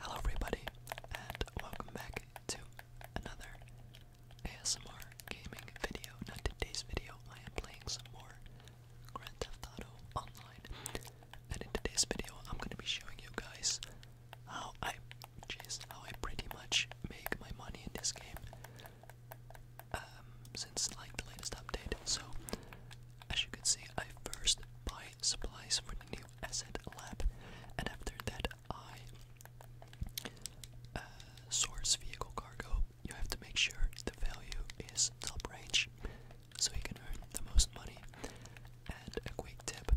Hello, everybody, and welcome back to another ASMR gaming video. Now, today's video, I am playing some more Grand Theft Auto Online, and in today's video, I'm going to be showing you guys how I, jeez, how I pretty much make my money in this game. Um, since like the latest update. So, as you can see, I first buy supplies for the new asset lab, and after that, I uh, source vehicle cargo. You have to make sure the value is top range, so you can earn the most money. And a quick tip: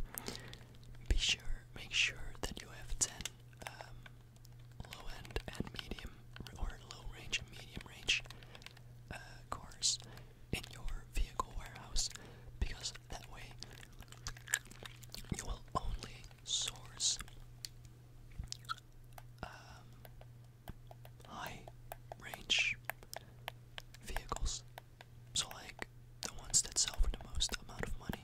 be sure, make sure that you have ten. Um, low end and medium, or low range and medium range uh, cars in your vehicle warehouse because that way you will only source um, high range vehicles. So, like the ones that sell for the most amount of money.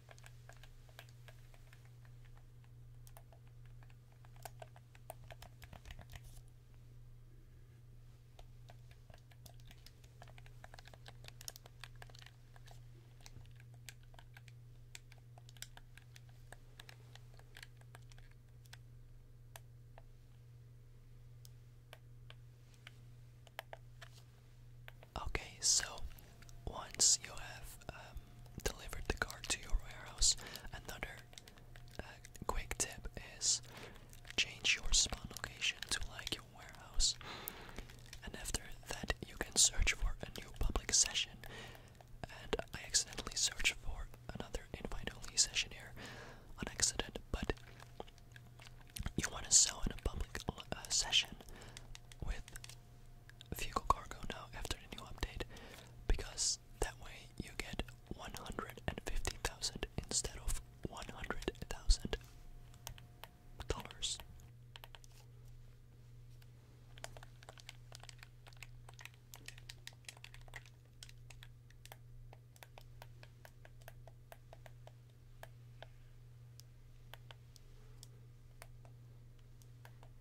Okay, so once you have um, delivered the car to your warehouse. Another uh, quick tip is change your spawn location to like your warehouse, and after that, you can search for a new public session. And I accidentally searched for another invite only session here on accident, but you want to sell in a public uh, session with vehicle cargo now after the new update because that way you get 150,000 instead of 100,000 dollars.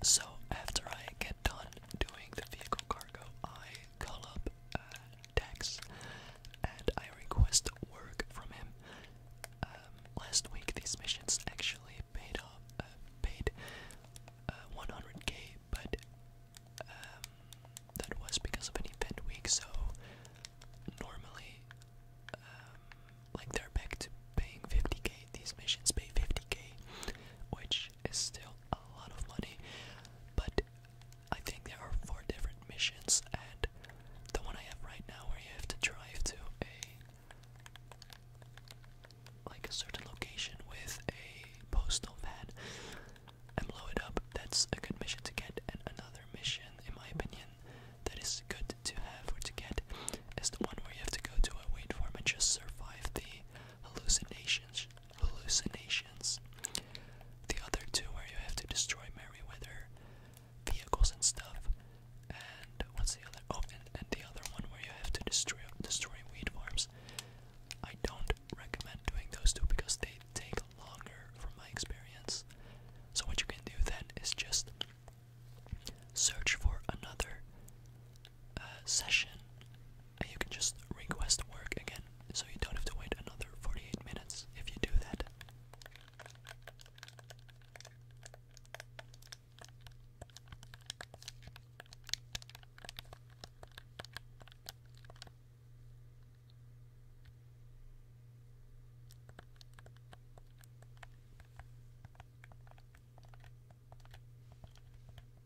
So, after I get done doing the vehicle cargo, I call up uh, and I request work from him. Um, last week these missions actually paid off, uh, paid 100k, uh, but um, that was because of an event week, so normally, um, like they're back to paying 50k, these missions pay 50k, which which is still a lot of money. But I think there are four different missions, and the one I have right now, where you have to drive to a like a certain location with a postal van and blow it up. That's a good mission to get, and another mission, in my opinion, that is good to have or to get is the one where you have to go to a wait farm and just survive the hallucinations hallucinations. The other two, where you have to destroy Merryweather vehicles and stuff. And what's the other? Oh, and, the other one where you have to destroy destroy weed farms. I don't recommend doing those two because they take longer, from my experience. So what you can do then is just search for another uh, session and you can just request work again, so you don't have to wait another 48 minutes if you do that.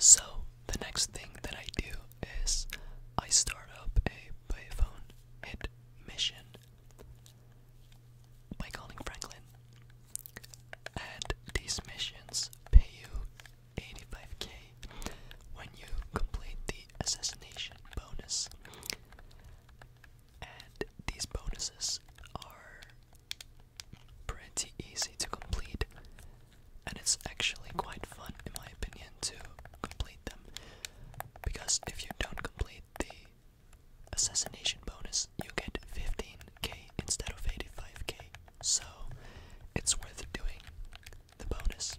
So, the next thing that I do is I start up a payphone hit mission by calling Franklin. And these missions pay you 85k when you complete the assassination bonus. And these bonuses are pretty easy to complete, and it's actually quite fun, in my opinion, to complete them. Because if you don't complete the assassination bonus, you get 15k instead of 85k. So it's worth doing the bonus.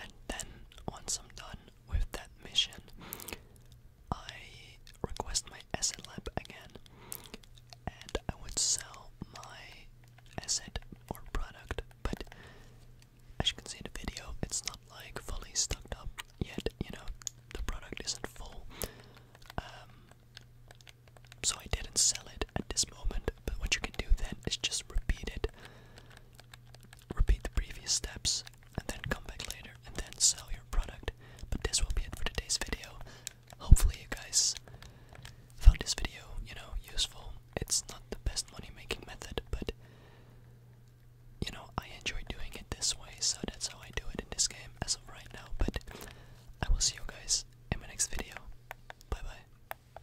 And then, once I'm done with that mission, I request my asset lab again, and I would sell my asset or product. But as you can see in the video, it's not like fully stocked up yet. You know, the product isn't full. Um, so I didn't sell it at this moment, but what you can do then is just repeat it Repeat the previous steps and then come back later and then sell your product. But this will be it for today's video. Hopefully you guys found this video, you know, useful. It's not the best money making method, but you know, I enjoy doing it this way, so that's how I do it in this game as of right now. But I will see you guys in my next video. Bye bye.